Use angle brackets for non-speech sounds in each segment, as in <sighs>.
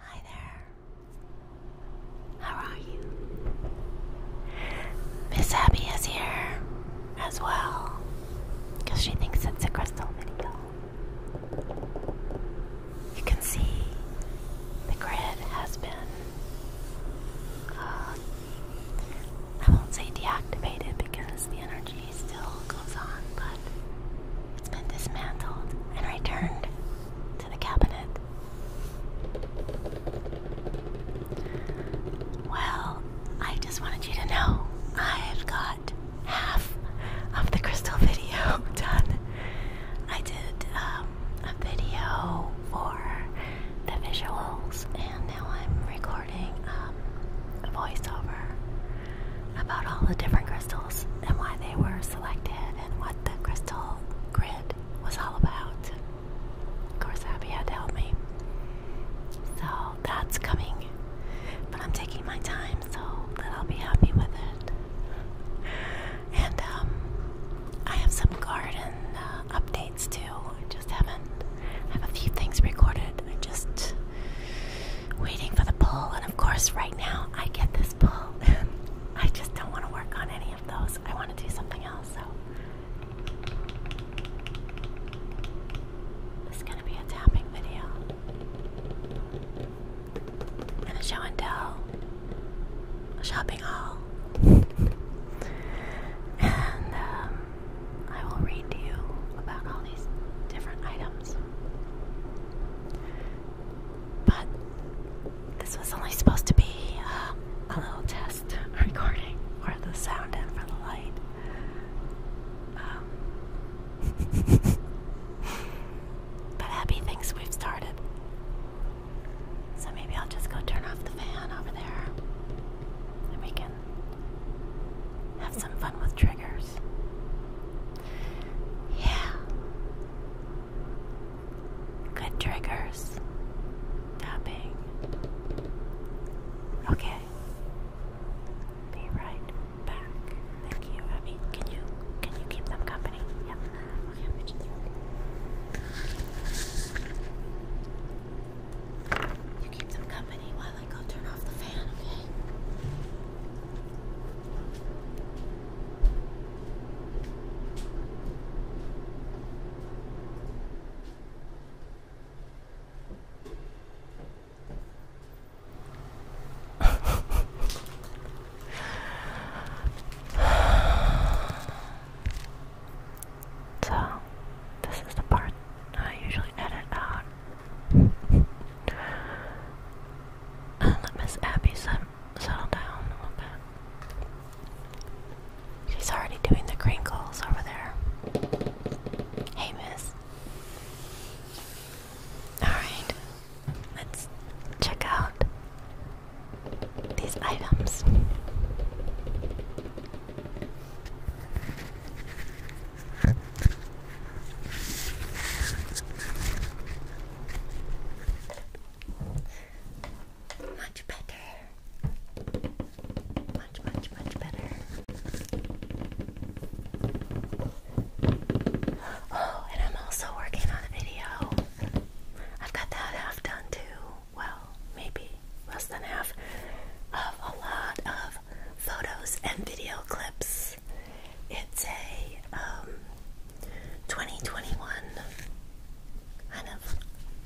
Hi there. How are you? Miss Abby is here as well because she thinks it's a crystal video. You can see the grid has been, uh, I won't say deactivated because the energy still goes on, but it's been dismantled and returned to the cabinet. Well, I just wanted you to know I've got half of the crystal <laughs> video done. I did um, a video for the visuals, and now I'm recording um, a voiceover about all the different crystals and why they were selected and what the crystal grid was all about. Of course, Abby had to help me. So that's coming. But I'm taking my time so that I'll be happy with it. <laughs> And um, I have some garden uh, updates too. I just haven't. I have a few things recorded. I'm just waiting for the poll. and of course, right now I get this poll. <laughs> I just don't want to work on any of those. I want to do something else. So. this is going to be a tapping video and a show and tell, a shopping hall. and um, I will read to you about all these different items. But this was only supposed to be uh, a little test recording for the sound and for the light. Um, <laughs> But Abby thinks we've started. So maybe I'll just go turn off the fan over there. And we can have some fun with triggers. Yeah. Good triggers. Tapping. Okay. Be right back. Thank you, Abby. Can you can you keep them company? Yep. Okay, You keep them company while I go turn off the fan, okay? <sighs> so, this is the part I usually edit out. <laughs> let Miss Abby settle down a little bit. She's already doing the crinkles over there. Hey, Miss. Alright, Let's check out these items. Much better. Much, much, much better. Oh, and I'm also working on a video. I've got that half done too. Well, maybe less than half of a lot of photos and video clips. It's a um, 2021 kind of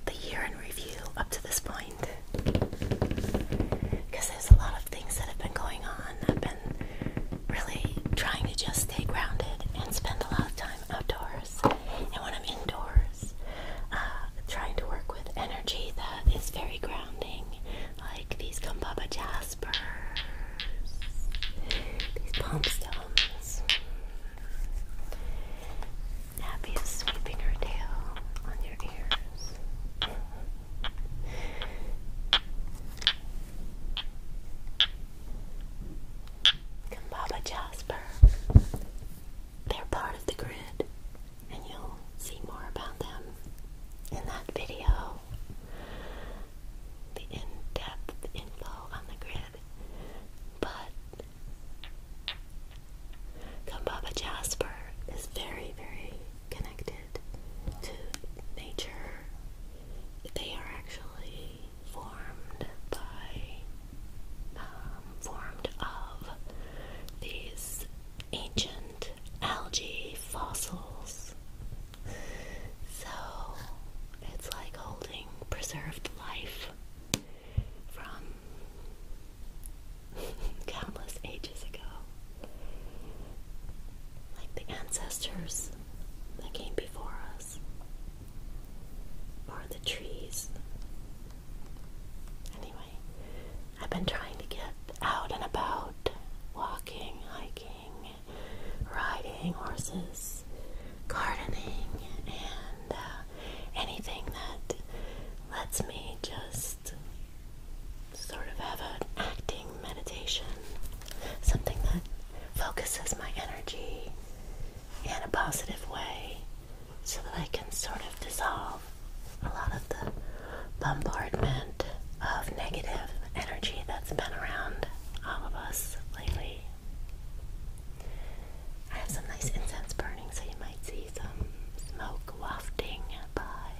the year in review up to this point because there's a lot of things that have been going on. I've been really trying to just stay grounded and spend a lot of time outdoors. And when I'm indoors, uh, trying to work with energy that is very grounding, like these Kumbaba jaspers, these palm stones. Abby is sweeping her tail on your ears. Kumbaba Jasper. They're part of the grid, and you'll see more about them in that video. The in depth info on the grid. But Kumbaba Jasper is very, very connected to nature they are actually formed by, um, formed of these ancient algae fossils. So it's like holding preserved life from <laughs> countless ages ago. Like the ancestors that came before us, or the trees. Anyway, I've been trying to get out and about, walking, hiking, riding horses, gardening, and uh, anything that lets me just sort of have an acting meditation, something that focuses my energy in a positive way so that I can sort of dissolve a lot of the bombardment of negative energy that's been around all of us lately. I have some nice incense burning, so you might see some smoke wafting by.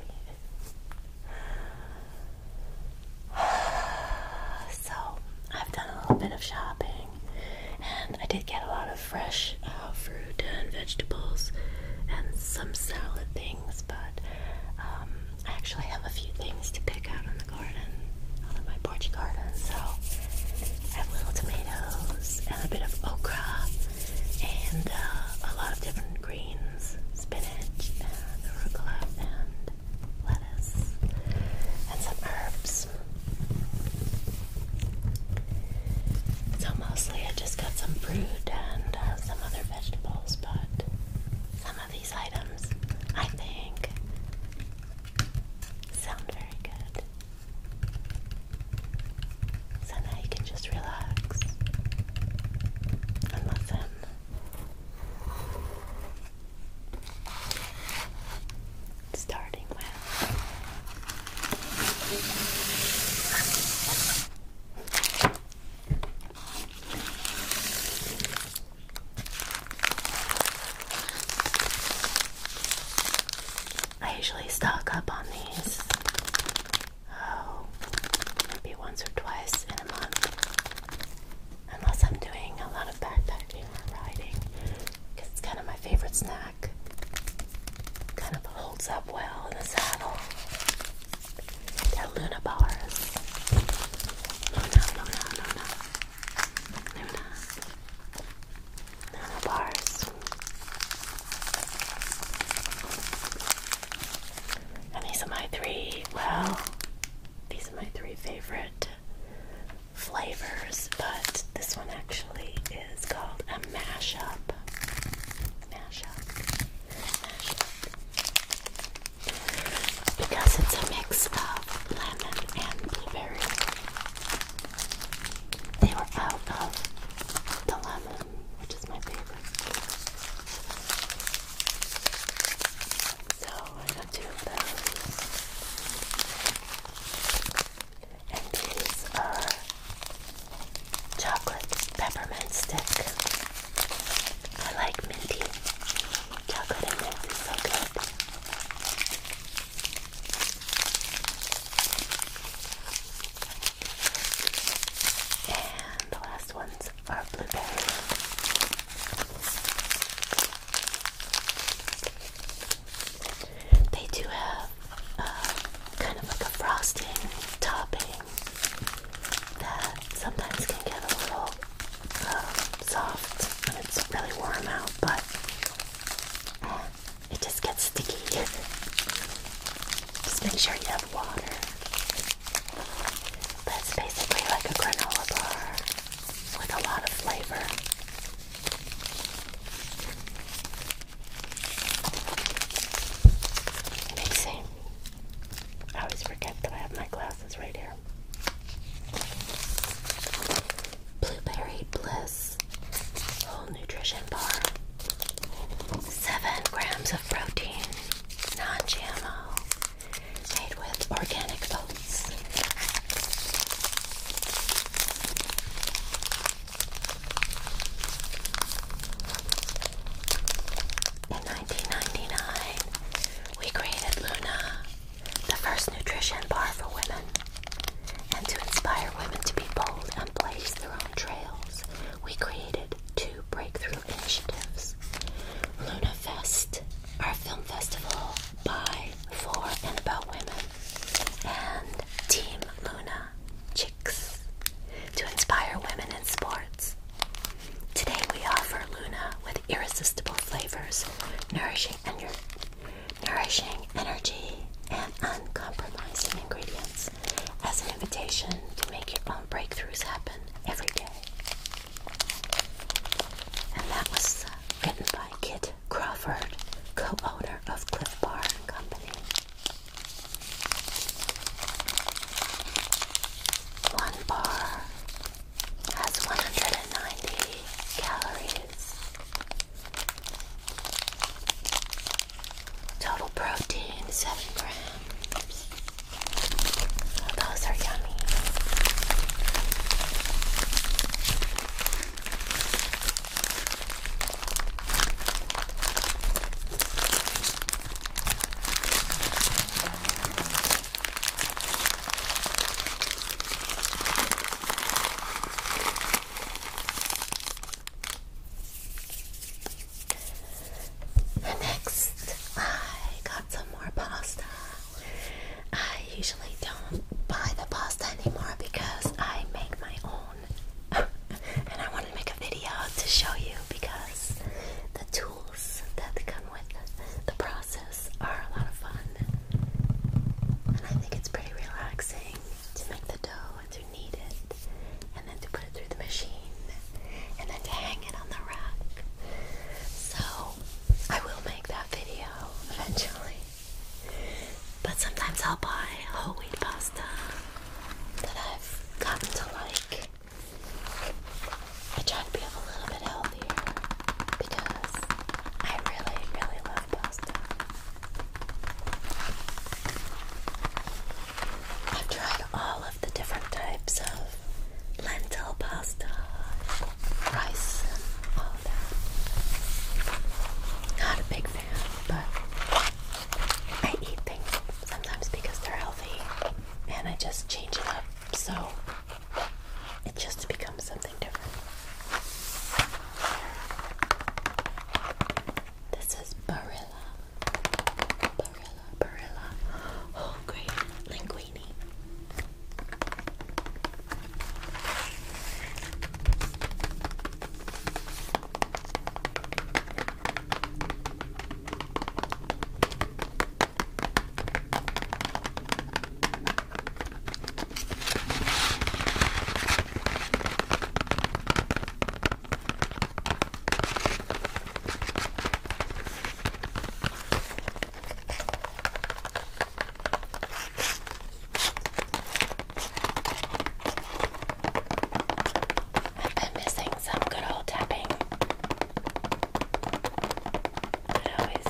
<sighs> So, I've done a little bit of shopping and I did get a lot of fresh uh, fruit and vegetables and some salad things, but um, I actually have a few things to pick out in the garden, out in my porch garden. So, I have little tomatoes and a bit of okra and uh, a lot of different greens spinach and arugula and lettuce, and some herbs. So mostly I just got some fruit and uh, some other vegetables, but some of these items I think sound very good. So now you can just relax and listen Starting with I usually stock up on these. Oh, maybe once or twice in a month. Unless I'm doing a lot of backpacking or riding, because it's kind of my favorite snack. Kind of holds up well in the saddle. That Luna bars. Luna, Luna, Luna, Luna, Luna bars. And these are my three. Well, these are my three favorite flavors, but this one actually is called a mashup. Mashup. Mashup. Because it's a mix of lemon and blueberry. They were out of the lemon, which is my favorite. So I got two of those. And these are chocolate peppermint stick. I like minty. Chocolate and mint is And the last one's ones are blueberry. They do have uh, kind of like a frosting topping that sometimes can get a little um, soft when it's really warm out, but eh, it just gets sticky. <laughs> just make sure you have water. That's basically like a granola bar with a lot of flavor. Let I always forget that I have my glasses right here. Blueberry Bliss Whole Nutrition Bar. 7 grams of protein, non GMO made with organic oats. In 1999, we created Luna, the first nutrition bar for women. And to inspire women to be bold and blaze their own trails, we created two breakthrough initiatives Luna Fest, our film festival by, for, and about women, and Team Luna Chicks to inspire women in sports. Today we offer Luna with irresistible flavors, nourishing energy, and uncompromising ingredients as an invitation to make your own breakthroughs happen every day. And that was written by Kit Crawford, co owner of Cliff Bar and Company. One bar has 190 calories. Total protein 7 grams those are yummy. Next, I got some more pasta. I usually don't buy the pasta anymore because I make my own. <laughs> and I want to make a video to show you because the tools that come with the process are a lot of fun. And I think it's pretty relaxing to make the dough and to knead it and then to put through the machine and then to hang it on the rack. So I will make that video eventually. But sometimes I'll buy whole wheat pasta that I've gotten to like. I try to be a little bit healthier because I really, really love pasta. I've tried all of the different types of lentil pasta, rice, and all that. Not a big fan, but I eat things sometimes because they're healthy and I just change it up so it just becomes something different. This is Barilla. Barilla, Barilla, whole grain linguine. I've been missing some good old tapping. It always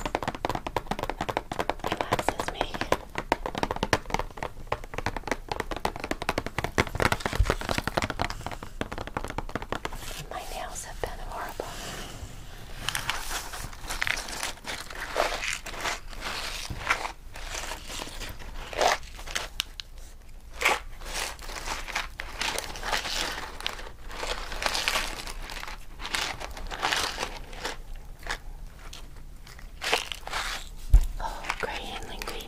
relaxes me. My nails have been horrible. Oh, great handling, baby.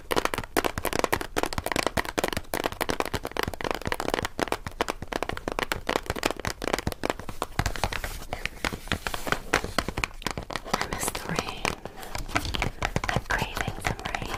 I miss the rain. I'm craving some rain.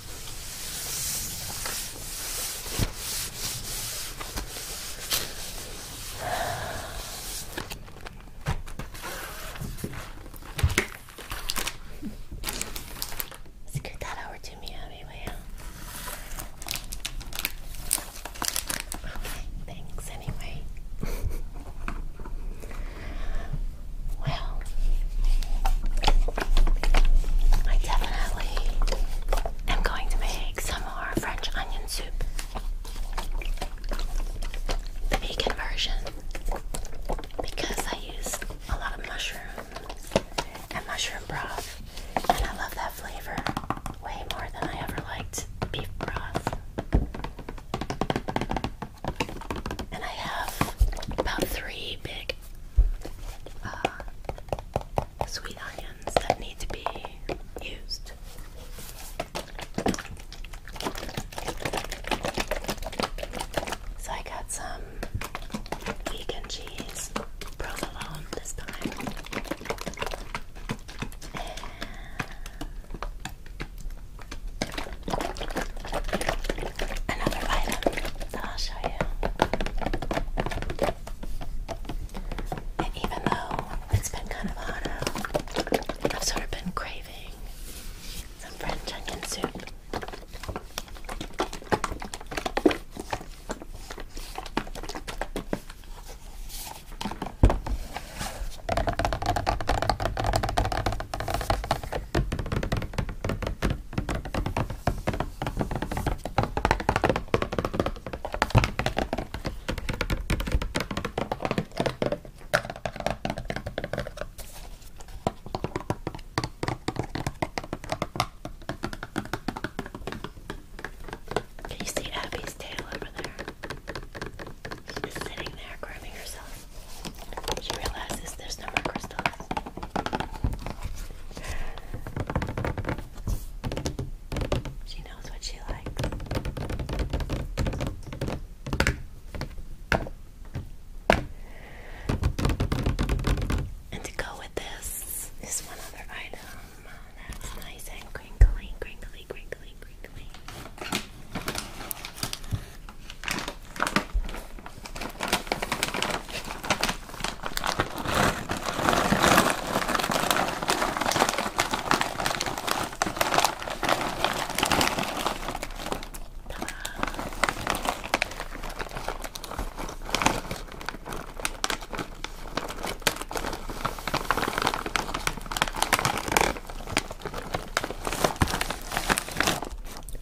Let's that over to me anyway. Okay, thanks anyway. well, I definitely I'm going to make some more French onion soup. The vegan version. Because I use a lot of mushrooms and mushroom broth. And I love that flavor way more than I ever liked beef broth. And I have about three big uh, sweet onions that need to be used. So I got some vegan cheese, provolone this time, another item that I'll show you. And even though it's been kind of hot I've sort of been craving some French onion soup. Can you see Abby's tail over there? She's sitting there grooming herself. She realizes there's no more crystals. She knows what she likes. And to go with this is one other item that's nice and crinkly, crinkly, crinkly, crinkly.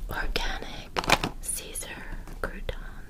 Organic Caesar crouton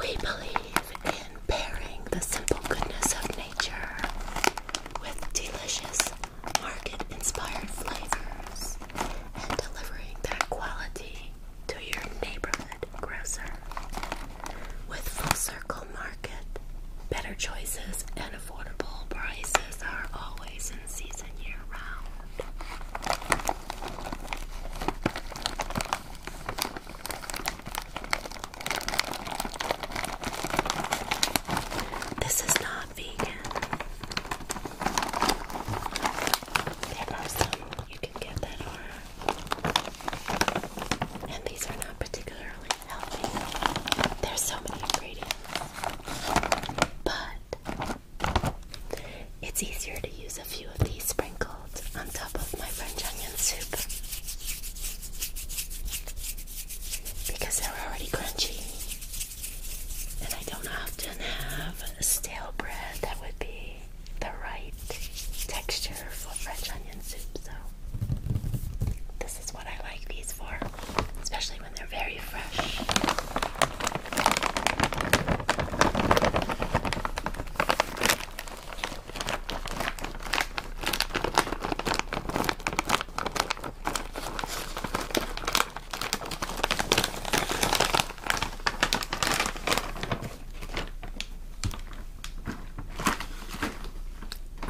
We believe in pairing the simple goodness of nature with delicious market inspired flavors and delivering that quality to your neighborhood. Grocer. With Full Circle Market, better choices and affordable prices are always in season year round. This is not vegan. They have some you can get that aura. And these are not particularly healthy. There's so many ingredients. But it's easier to use a few of these sprinkled on top of my French onion soup. Because they're already crunchy. And I don't often have stale bread that would be the right texture for French onion soup. So this is what I like these for, especially when they're very fresh.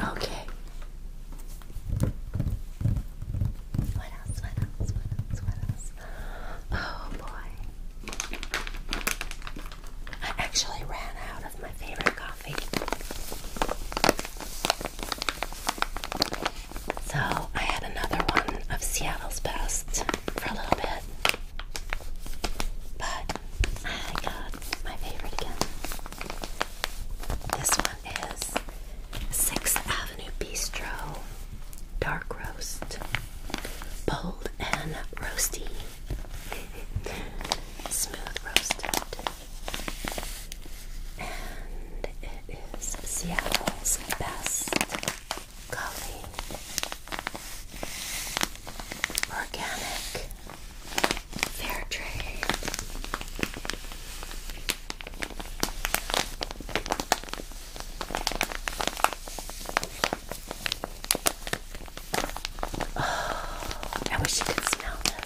Okay. Oh boy. I actually ran out of my favorite coffee. So I had another one of Seattle's best for a little bit. But I got my favorite again. This one is 6th Avenue Bistro Dark Roast. Bold and roasty. <laughs> Smooth roasted. And it is Seattle's best coffee organic, fair trade. Oh, I wish you could smell this.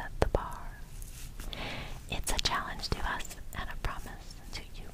at the bar. It's a challenge to us and a promise to you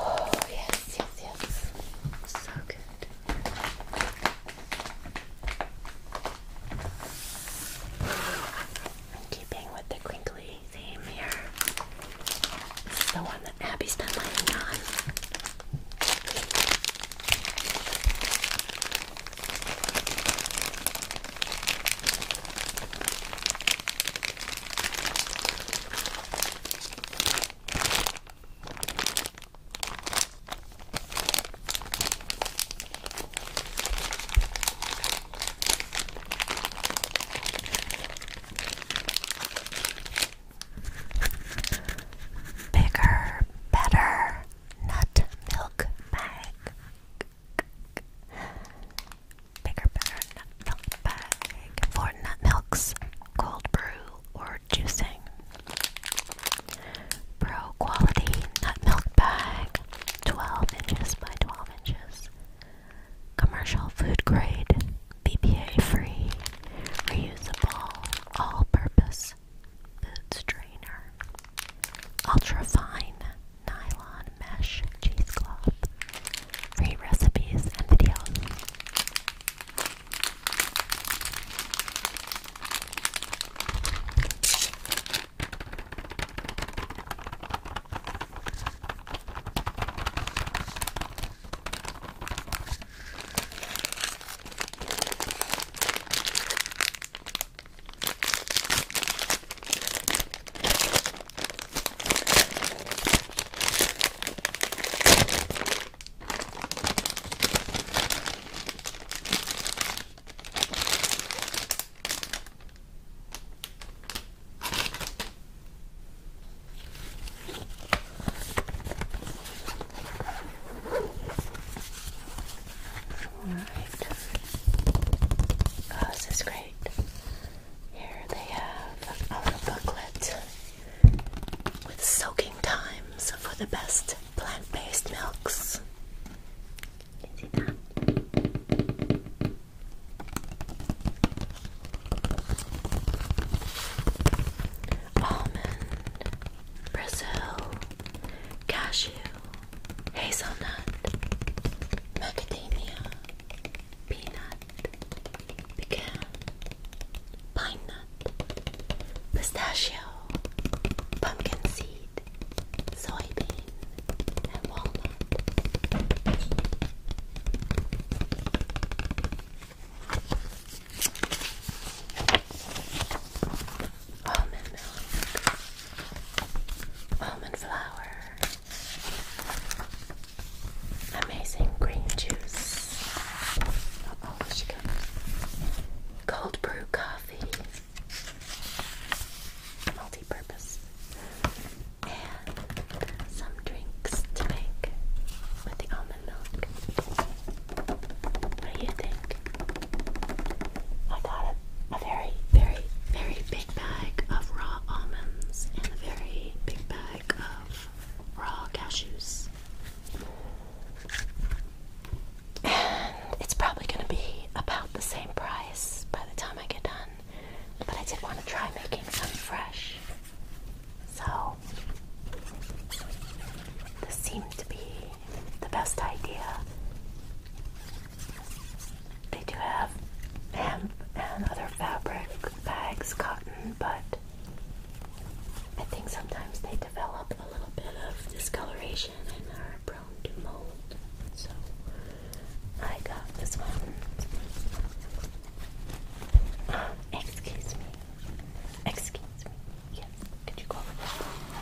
Oh, yes, yes, yes. So good. keeping with the crinkly theme here. the one that Abby's been laying on. Bigger, better nut milk bag bigger better nut milk bag for nut milks, cold brew, or juicing. Pro quality nut milk bag, 12 inches by 12 inches. Commercial food grade, BPA free, reusable, all purpose food strainer. Ultra fine nylon mesh cheesecloth free recipes and videos. All right. Oh, this is great. Here they have our booklet with soaking times for the best plant based milks. Almond, Brazil, cashew, hazelnut, macadamia, peanut, pecan, pine nut, pistachio, pumpkin seed, soybean, and walnut. Almond milk, almond flour, Amazing green juice. Cold brew coffee. Multi purpose. And some drinks to make with the almond milk. What do you think? I got a very, very, very big bag of raw almonds and a very big bag of raw cashews. And it's probably going to be about the same price by the time I get done. But I did want to try making some fresh. So, this seemed to be the best idea. They do have hemp and other fabric bags, cotton, but I think sometimes they develop a little bit of discoloration and are prone to mold. So I got this one. Um, excuse me. Excuse me. Yes. Could you go over there?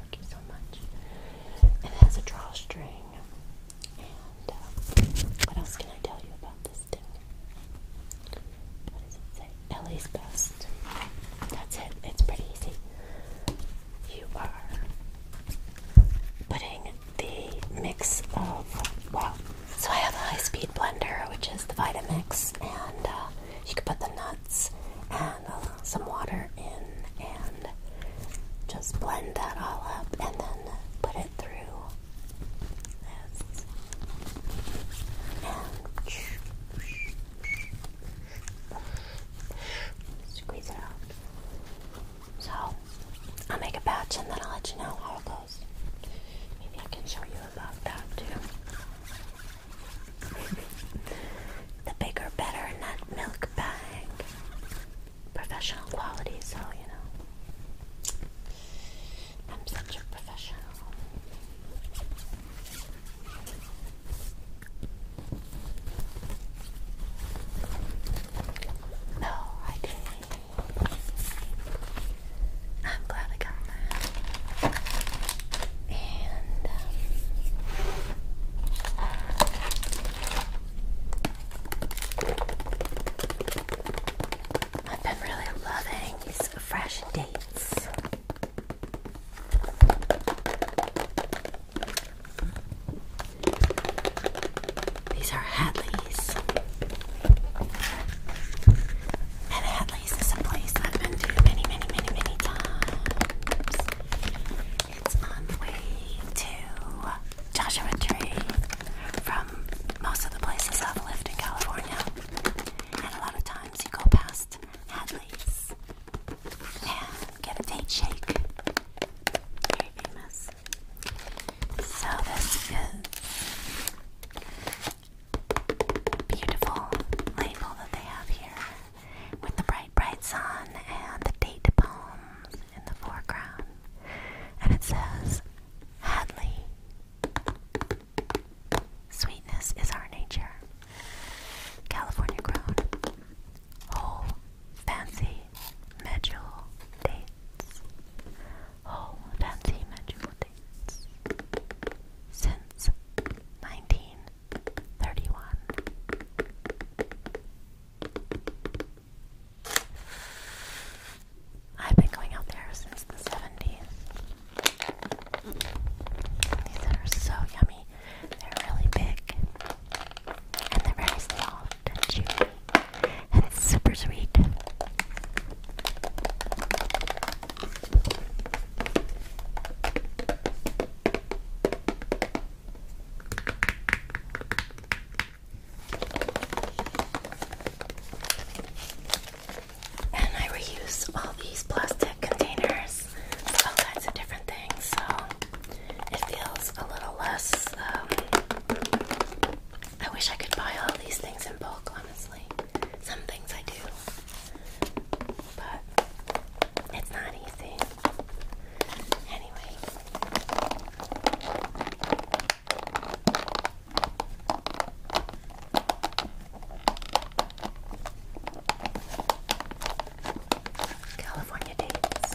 Thank you so much. It has a drawstring. Uh, what else can I tell you about this thing? What does it say? LA's best. That's it. It's pretty easy. You are putting the mix of, well, so I have a high speed blender, which is the Vitamix, and uh, you can put the nuts and uh, some water in and just blend that all up and then put it so, I'll make a batch and then I'll let you know how it goes. Maybe I can show you about that too. <laughs> the bigger, better nut milk bag professional quality, so you know. I'm such a professional. No, I didn't. I'm glad I got that. And um, I've been really loving these fresh dates. These are Hatley's. And Hatley's is a place I've been to many, many, many, many times. It's on the way to Joshua Tree from most of the places I've lived in California. And a lot of times you go past Hadley's and get a date shake. Very famous. So this beautiful label that they have here with the bright bright sun and the date poems in the foreground, and it says, Hadley, sweetness is our nature. California grown, whole, fancy, medjool dates. Whole, fancy, medjool dates. Since 1931. I've been going out there since the 70s. These are so yummy. They're really big. And they're very soft chewy. And it's super sweet. And I reuse all these plastic containers all kinds of different things, so it feels a little less. Um, I wish I could buy all these things in bulk, honestly. Some things I do, but it's not easy. Anyway, California dates.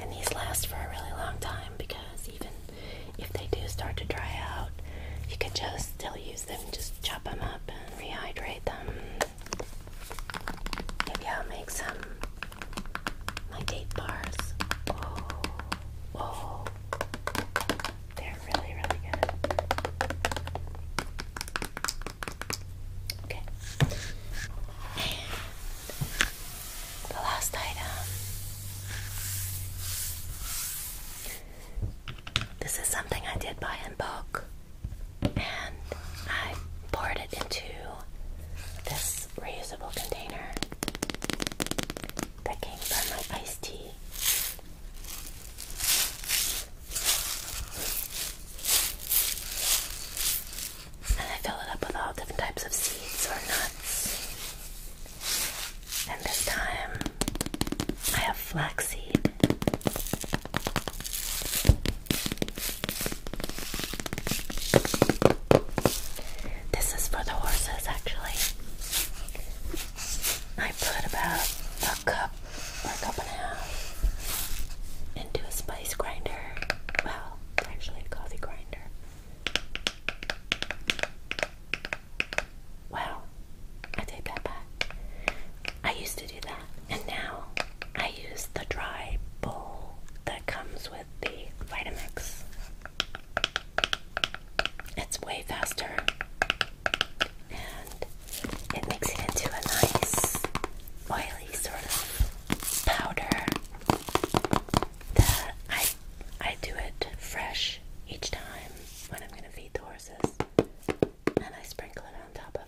And these last for a really long time because even if they do start to dry out, you can just still use them, just chop them up and rehydrate them. Maybe I'll make some my date bars. Whoa, whoa. They're really, really good. Okay. the last item. This is something I did buy in bulk and I poured it into this reusable container that came from my iced tea. And I fill it up with all different types of seeds or nuts. And this time I have flaxseed. This is for the horses, actually. I put about a cup or a cup and a half into a spice grinder. Well, actually, a coffee grinder. Well, I take that back. I used to do that. And now I use the dry bowl that comes with the Vitamix. It's way faster and it makes it into a nice oily sort of powder that I I do it fresh each time when I'm gonna feed the horses and I sprinkle it on top of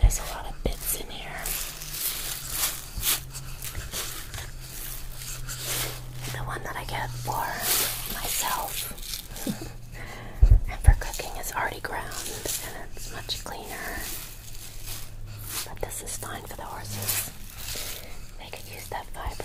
There's a lot of bits in here the one that I get for myself <laughs> and for cooking is already ground and it's much cleaner. But this is fine for the horses. They could use that fiber.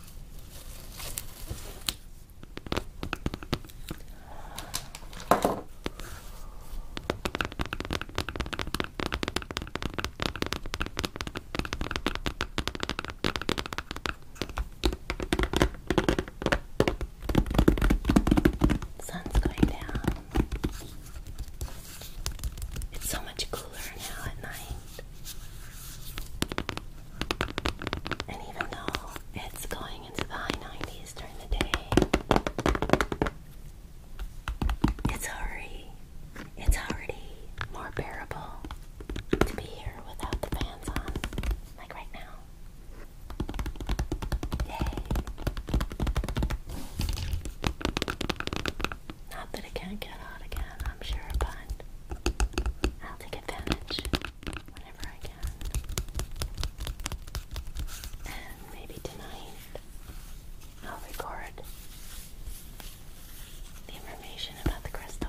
Sun's going down. It's so much cooler now at night. And even though it's going into the high 90s during the day, it's already it's already more bearable to be here without the fans on, like right now. Yay! Not that it can't get hot again, I'm sure, but I'll take advantage whenever I can. And maybe tonight I'll record the information about the crystal.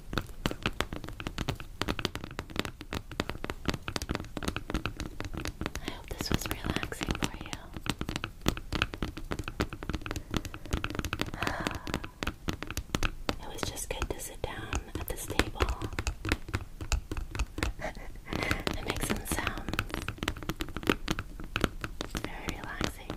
I hope this was relaxing for you. <sighs> It was just good to sit down at this table and <laughs> make sounds. Very relaxing.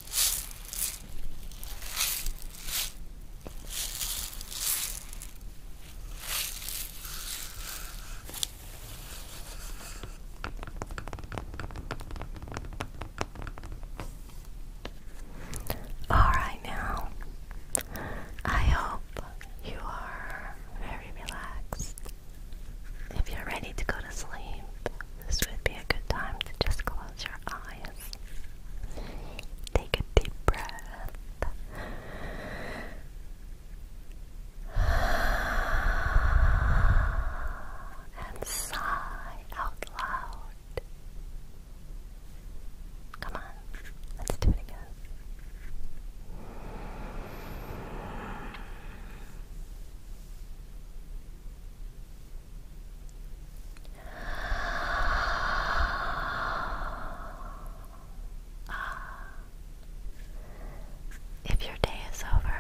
Alright, now I hope you are very relaxed. If you're ready to go to sleep, this would be a good time to just close close your eyes. Take a deep breath. And sigh out loud. Come on, let's do it again. If your day is over,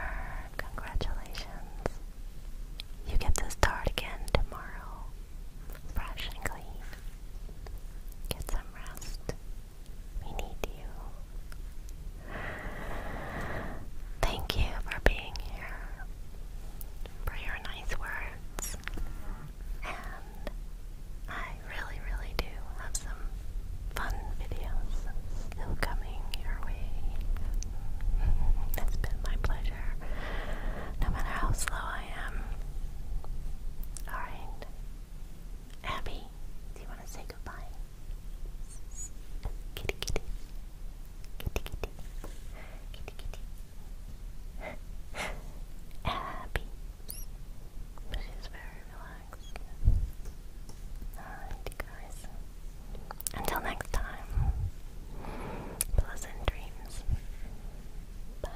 congratulations. You get to start again tomorrow, fresh and clean. Get some rest. We need you. Thank you for being here, for your nice words, and I really, really do have some fun videos still coming your way. <laughs> it's been my pleasure, no matter how slow I am. Alright. Abby, do you want to say goodbye? Kitty kitty. Kitty, kitty. She's very relaxed. Until next time. Pleasant dreams. Bye.